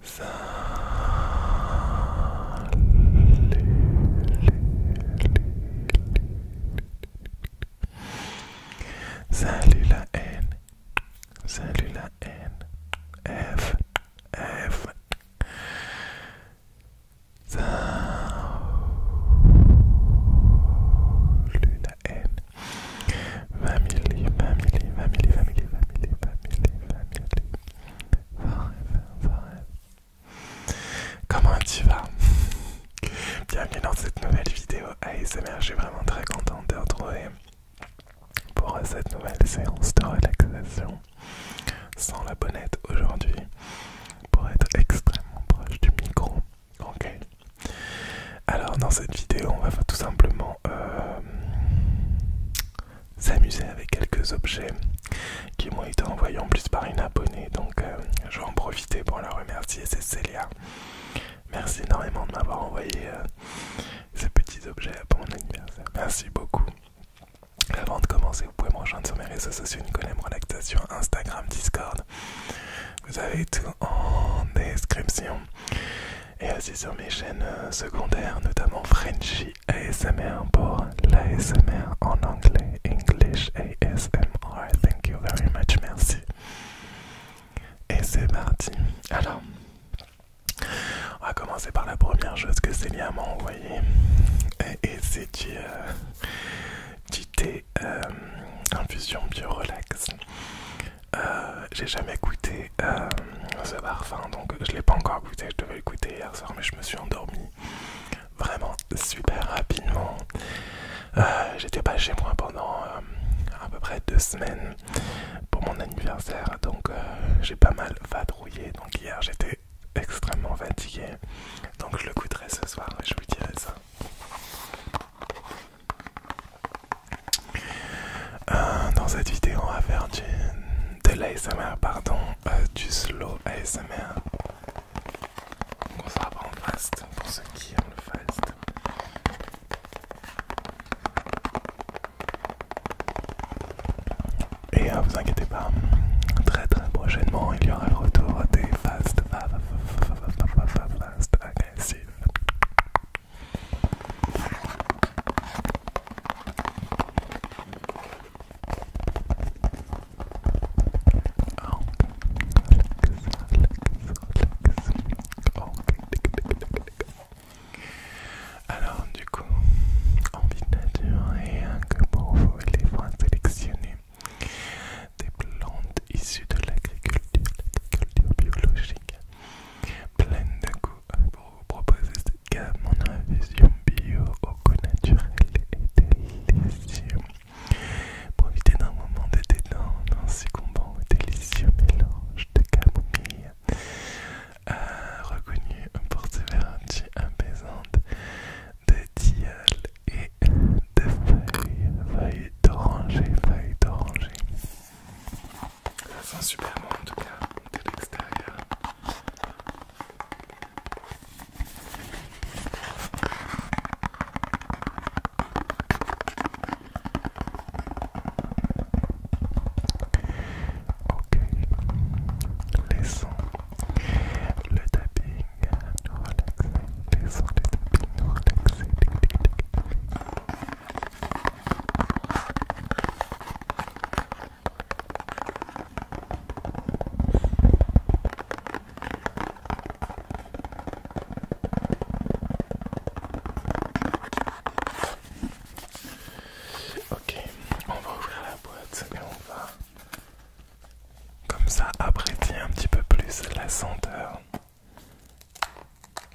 Salut la haine, salut la haine, F, F, salut la haine, Family, family, 20 family, Comment tu vas Bienvenue dans cette nouvelle vidéo ASMR. Je suis vraiment très contente de te retrouver pour cette nouvelle séance de relaxation sans la bonnette aujourd'hui pour être extrêmement proche du micro. Ok. Alors dans cette vidéo, on va tout simplement s'amuser avec quelques objets qui m'ont été envoyés en plus par une abonnée. Donc euh, je vais en profiter pour la remercier, c'est Célia. Merci énormément de m'avoir envoyé euh, ces petits objets pour mon anniversaire. Merci beaucoup. Avant de commencer, vous pouvez me rejoindre sur mes réseaux sociaux Nicolas Relaxation, Instagram, Discord. Vous avez tout en description et aussi sur mes chaînes euh, secondaires, notamment Frenchy ASMR pour l'ASMR en anglais, English ASMR. Thank you very much, merci. Et c'est parti. Alors, on va commencer par la première chose que Célia m'a envoyée. Et, c'est du, euh, thé euh, infusion bio euh, j'ai jamais goûté euh, ce parfum, donc je l'ai pas encore goûté. Je devais l'écouter hier soir, mais je me suis endormi vraiment super rapidement. Euh, j'étais pas chez moi pendant à peu près deux semaines pour mon anniversaire, donc j'ai pas mal vadrouillé. Donc hier j'étais extrêmement fatigué, donc je le goûterai ce soir et je vous dirai ça dans cette vidéo, on va faire du, pardon, du slow ASMR. on sera pas en fast pour ceux qui ont le fast. Et ne vous inquiétez pas, très très prochainement, il y aura le retour des fast, alors du coup, en de nature et un que pour vous, il sélectionner des plantes issues de l'agriculture biologique pleine de goût pour vous proposer cette gamme. en infusion bio au goût naturel et délicieux. Profitez d'un moment de détente, un succombant délicieux mélange de camomille. Euh, reconnu pour ses vertus apaisantes de tilleul et de feuilles, feuilles d'oranger, feuilles d'oranger. Ça sent super bon, en tout cas, de l'extérieur. Ok, laissons le tapping nous relaxer, laissons le tapping nous relaxer. Tic, tic, tic. Ok, on va ouvrir la boîte et on va comme ça apprécier un petit peu plus la senteur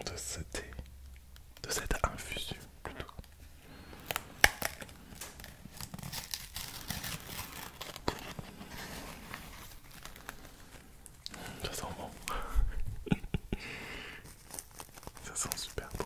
de cette de cette infusion plutôt. Ça sent bon. Ça sent super bon.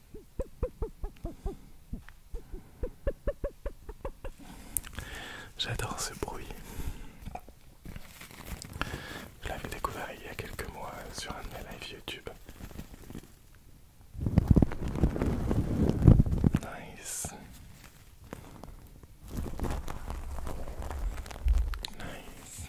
J'adore ce bruit. Je l'avais découvert il y a quelques mois sur un de mes YouTube. Nice. Nice.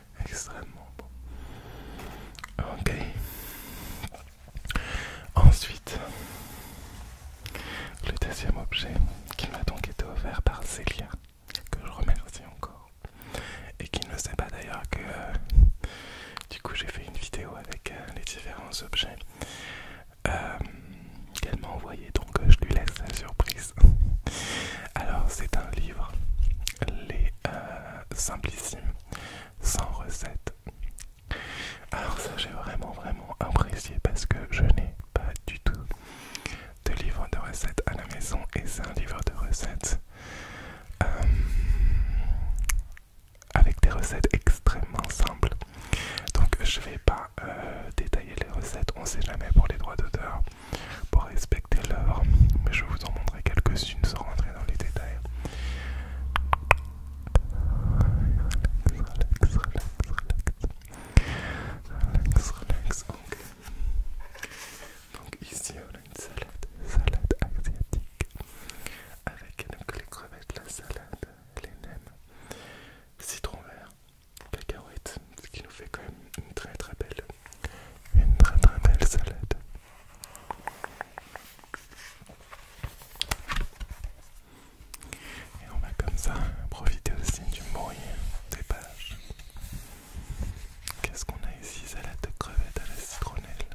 extrêmement bon. Ok. Ensuite, le deuxième objet qui m'a donc été offert par Célia, que je remercie encore, et qui ne sait pas d'ailleurs que euh, du coup j'ai fait une vidéo avec euh, les différents objets euh, qu'elle m'a envoyé, donc je lui laisse la surprise. Alors c'est un livre les euh, simplissimes sans recette. Alors ça j'ai vraiment vraiment apprécié parce que je n'ai pas du tout de livre de recettes à la maison et c'est un livre de recettes euh, avec des recettes extrêmement simples. Donc je vais pas euh, détailler les recettes, on sait jamais pour les droits d'auteur pour respecter l'heure, mais je vous en montrerai quelques-unes sans rentrer dans les détails. Donc ici on a une salade, salade asiatique, avec donc les crevettes, la salade, les nems, citron vert, cacahuètes, ce qui nous fait quand même une très très belle, une très très belle salade. Et on va comme ça profiter aussi du bruit des pages. Qu'est-ce qu'on a ici Salade de crevettes à la citronnelle.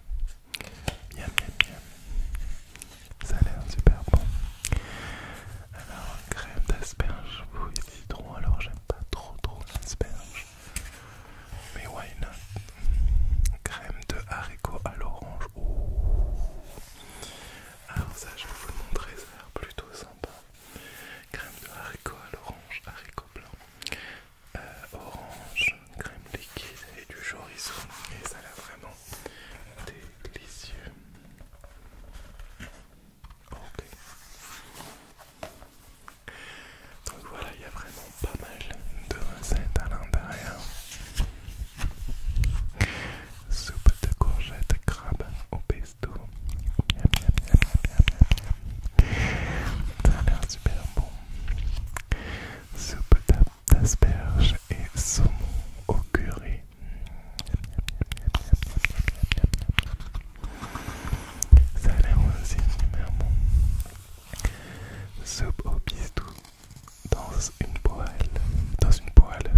yam yam yam Ça a l'air super bon. Alors crème d'asperges, alors j'aime pas trop trop l'asperge. Mais why not Crème de haricots à l'orange. Alors ah, ça, je vais vous le montrer, ça a l'air plutôt sympa. Crème de haricots à l'orange, haricots blanc euh, orange, crème liquide et du chorizo. Et ça a l'air vraiment délicieux. Ok. Donc voilà, il y a vraiment pas mal de recettes à l'intérieur. Soupe de courgettes, crabe au pesto. Ça a l'air super bon. Soupe d'asperges et saumon au curry. Ça a l'air aussi numéro. Soupe au pistou dans une poêle. Dans une poêle.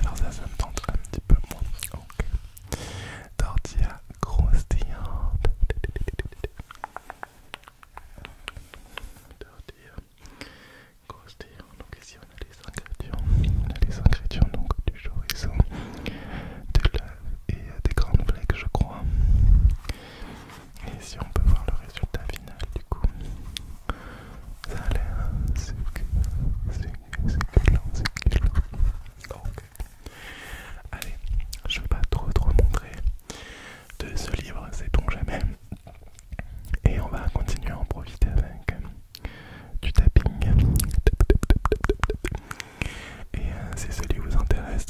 Alors ça, ça me tente un petit peu moins. Ok. Tortilla croustillante. Tortilla croustillant. Donc ici on a les ingrédients. On a les donc du chorizo, de l'œuf et des grandes blagues je crois. Et ici on peut voir le résultat final du coup. Ça a l'air succulent, succulent. Ok. Allez, je vais pas trop trop montrer de ce livre, c'est bon jamais. Et on va continuer à en profiter avec euh, du tapping. Et c'est si celui vous intéresse,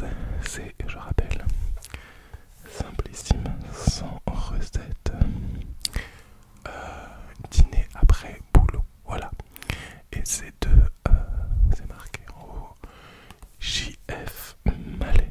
c'est, je rappelle, simplissime, sans recette, euh, dîner après boulot. Voilà. Et c'est de, euh, c'est marqué en haut, JF Malais.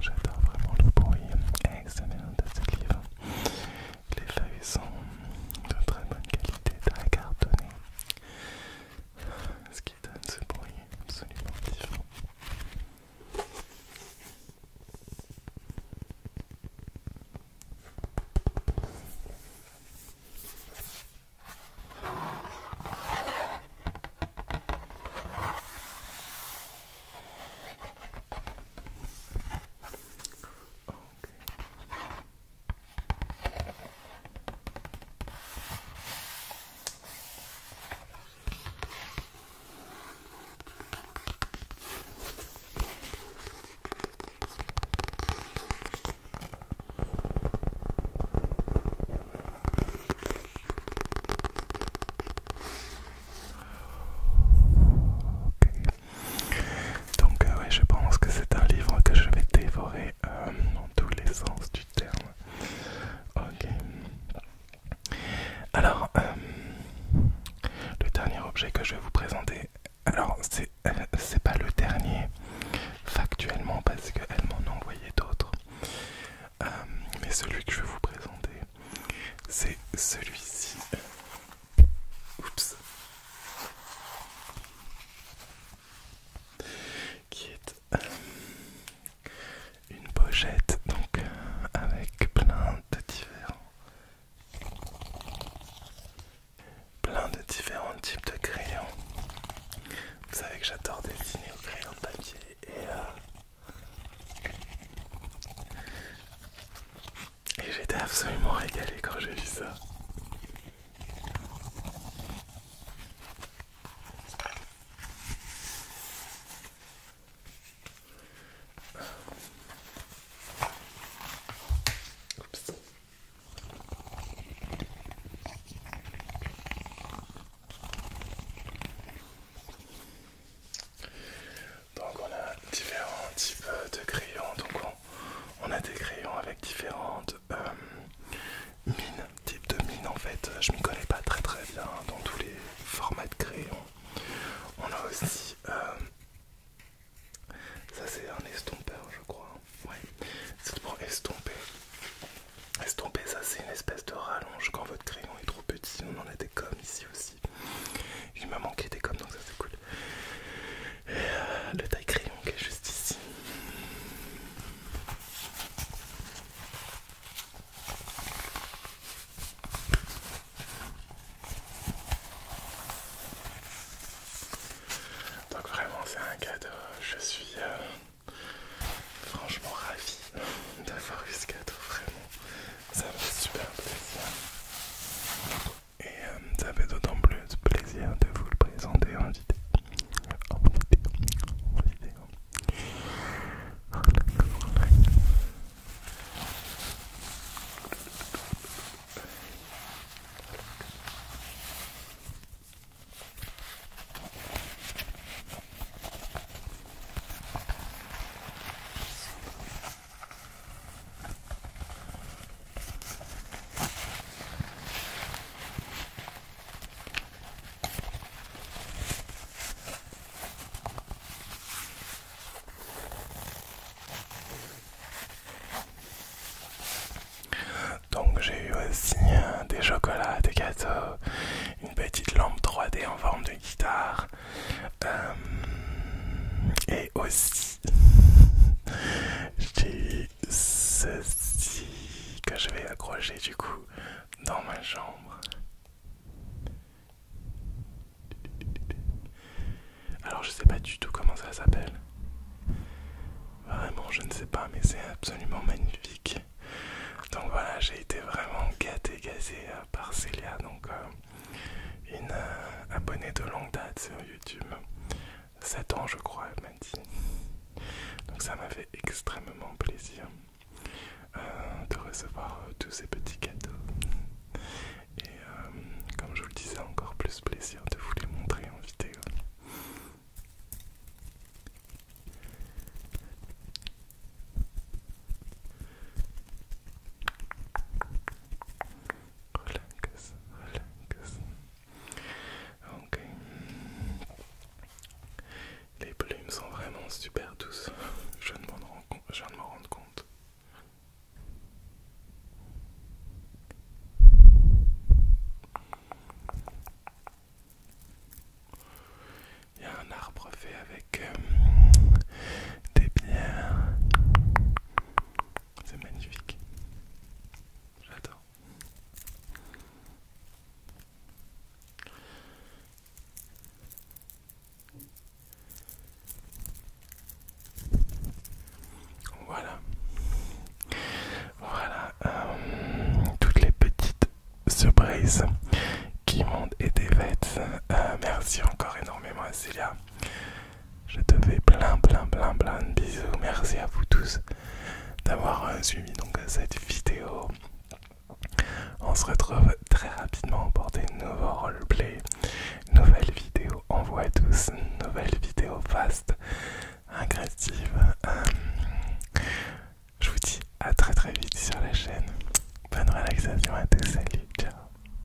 J'adore vraiment le bruit excellent, de ce livre. Les feuilles sont de très bonne qualité, très cartonnées ce qui donne ce bruit absolument différent. Donc euh, je pense que c'est un livre que je vais dévorer euh, tous les sens du terme. Ok. Alors, euh, le dernier objet que je vais vous présenter, alors c'est euh, pas le dernier factuellement parce qu'elle m'en a envoyé d'autres, euh, mais celui que je vais vous présenter, c'est celui-ci. Oups qui est euh, une pochette donc euh, avec plein de différents plein de différents types de crayons. Vous savez que j'adore dessiner au crayon de papier et euh, et j'étais absolument régalé quand j'ai vu ça. Donc on a différents types de crayons, donc on a des crayons avec différentes euh, mines, types de mines en fait. Je m'y connais pas très très bien dans tous les formats de crayons. On a aussi... Euh, ça c'est un estompeur je crois. C'est pour estomper. Estomper ça c'est une espèce de rallonge quand votre crayon est trop petit. On en a des comme ici aussi. Il m'a manqué des comme donc ça c'est cool. Et le taille crayon qui est juste ici. Donc vraiment c'est un cadeau, je suis euh, franchement ravi d'avoir eu ce cadeau, vraiment ça me fait super plaisir. Et euh, ça fait d'autant plus plaisir de vous le présenter en vidéo. En vidéo, en vidéo. Donc j'ai eu aussi euh, des chocolats, des gâteaux, une petite lampe 3D en forme de guitare euh, et aussi j'ai ceci que je vais accrocher du coup dans ma chambre. Alors je sais pas du tout comment ça s'appelle. Vraiment je ne sais pas mais c'est absolument magnifique. Donc voilà j'ai été vraiment gâté gâté euh, par Célia donc euh, une abonnée de longue date sur YouTube. 7 ans je crois, elle m'a dit. Donc ça m'a fait extrêmement plaisir euh, de recevoir euh, tous ces petits cadeaux. Et euh, comme je vous le disais, encore plus plaisir de vous les montrer en vidéo. Ok. Les plumes sont vraiment super douces. Je viens de m'en rendre compte. Il y a un arbre fait avec euh, des pierres. C'est magnifique. J'adore. Voilà. Voilà euh, toutes les petites surprises qui m'ont été faites. Euh, merci encore énormément à Célia je te fais plein, plein, plein, plein de bisous. Merci à vous tous d'avoir euh, suivi donc cette vidéo. On se retrouve très rapidement pour des nouveaux roleplay Nouvelle vidéo Envoie à tous, nouvelles vidéo fast, Agressive euh, je vous dis à très très vite sur la chaîne. Bonne relaxation à tous, salut, ciao.